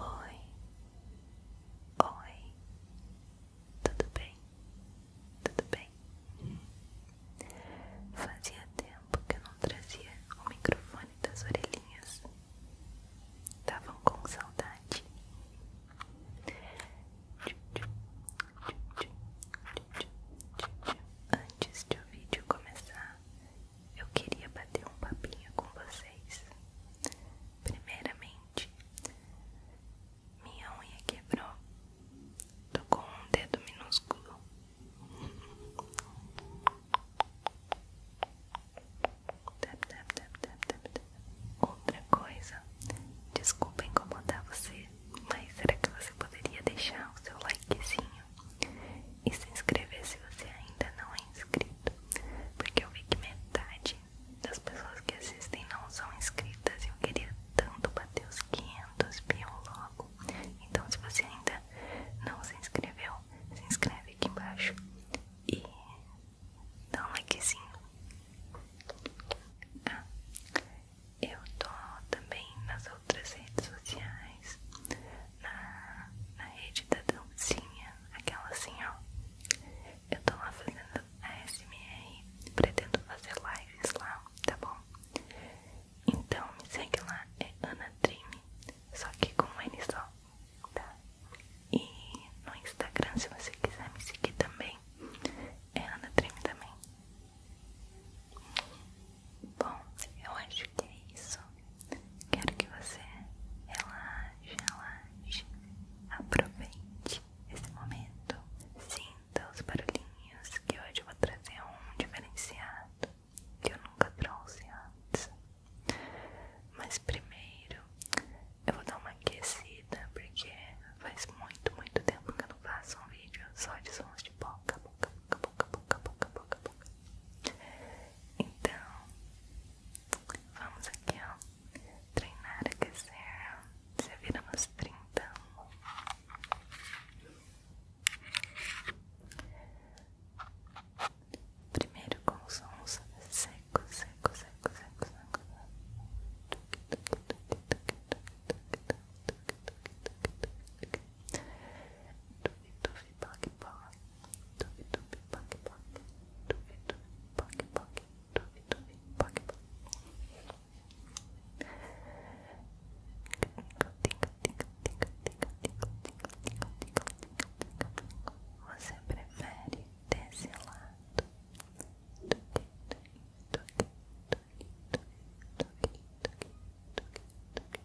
Oi, oi, tudo bem? Tudo bem? Fazia tempo que eu não trazia o microfone das orelhinhas. Estavam com saudade. Antes de o vídeo começar, eu queria bater um papinho com vocês. Primeiramente, minha unha quebrou. Tô com um dedo minúsculo. Outra coisa, desculpa incomodar você, mas será que você poderia deixar o seu likezinho e se inscrever se você ainda não é inscrito, porque eu vi que metade das pessoas que assistem não são inscritas e eu queria tanto bater os 500 mil logo. Então, se você ainda não se inscreveu, se inscreve aqui embaixo e dá um likezinho. eu tô também nas outras redes sociais, na, rede da dancinha, aquela assim ó. Eu tô lá fazendo a SMR, pretendo fazer lives lá, tá bom? Então me segue lá, é Ana Dream, só que com um N só, tá? E no Instagram, se você quiser me seguir também, é Ana Dream também. Bom, eu acho que é isso. Quero que você relaxe, relaxe. Aproveite esse momento. Sinta os barulhinhos que hoje eu vou trazer um diferenciado que eu nunca trouxe antes. Mas primeiro eu vou dar uma aquecida porque faz muito, muito tempo que eu não faço um vídeo só de sons de boca, boca, boca, boca, boca, boca, boca. Então, vamos aqui, ó. Treinar, aquecer. Você vira umas 30. Primeiro com os sons seco, seco, seco, seco, seco. Tufi, tufi, poc, poc. Tufi, tufi, poc, poc. Tufi, tufi, poc, poc. Tufi, tufi, poc, poc. Você prefere desse lado do que do que do que do que do que do que do que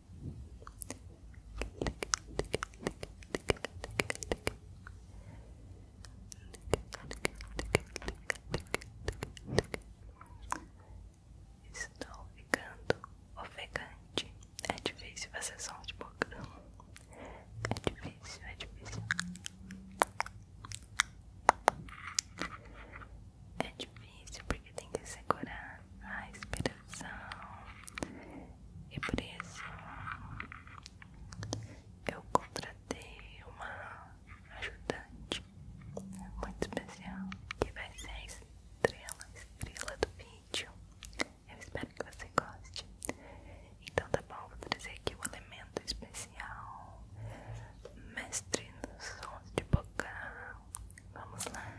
Estou ficando ofegante. É difícil fazer som de boca. É difícil, é difícil. É difícil porque tem que segurar a respiração e por isso eu contratei uma ajudante muito especial que vai ser a estrela, estrela do vídeo. Eu espero que você goste. Então tá bom, vou trazer aqui o um elemento especial, mestre nos sons de boca. Vamos lá.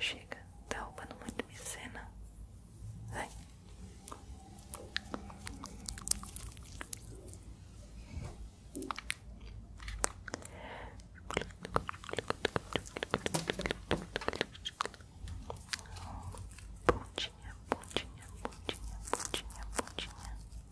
Chega, tá roubando muito minha cena. Vai. Pontinha, pontinha, pontinha, pontinha, pontinha.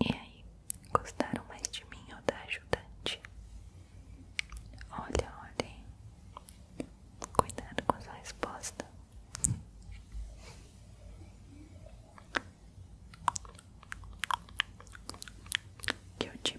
E aí, gostaram mais de mim ou da ajudante? Olha, olha, cuidado com sua resposta. Que eu te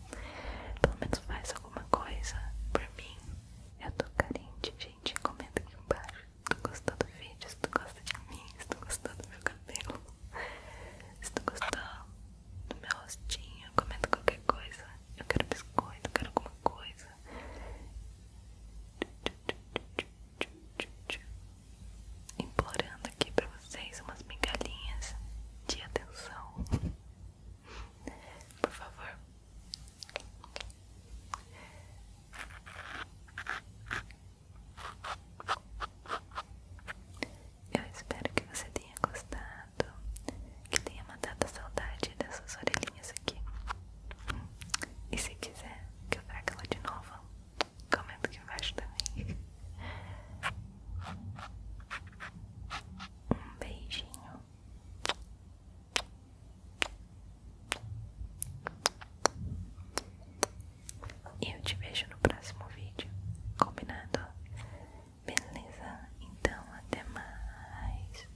Pelo menos faz alguma coisa por mim. Eu tô carente, gente. Comenta aqui embaixo. Se tu gostou do vídeo, se tu gosta de mim, se tu gostou do meu cabelo, se tu gostou do meu rostinho, comenta qualquer coisa. Eu quero biscoito, eu quero alguma coisa. Implorando aqui pra vocês umas migalhinhas de atenção. Por favor. Eu espero que você tenha gostado, que tenha matado a saudade dessas orelhinhas aqui. E se quiser que eu traga ela de novo, comenta aqui embaixo também. Um beijinho. E eu te vejo no próximo vídeo. Combinado? Beleza? Então, até mais.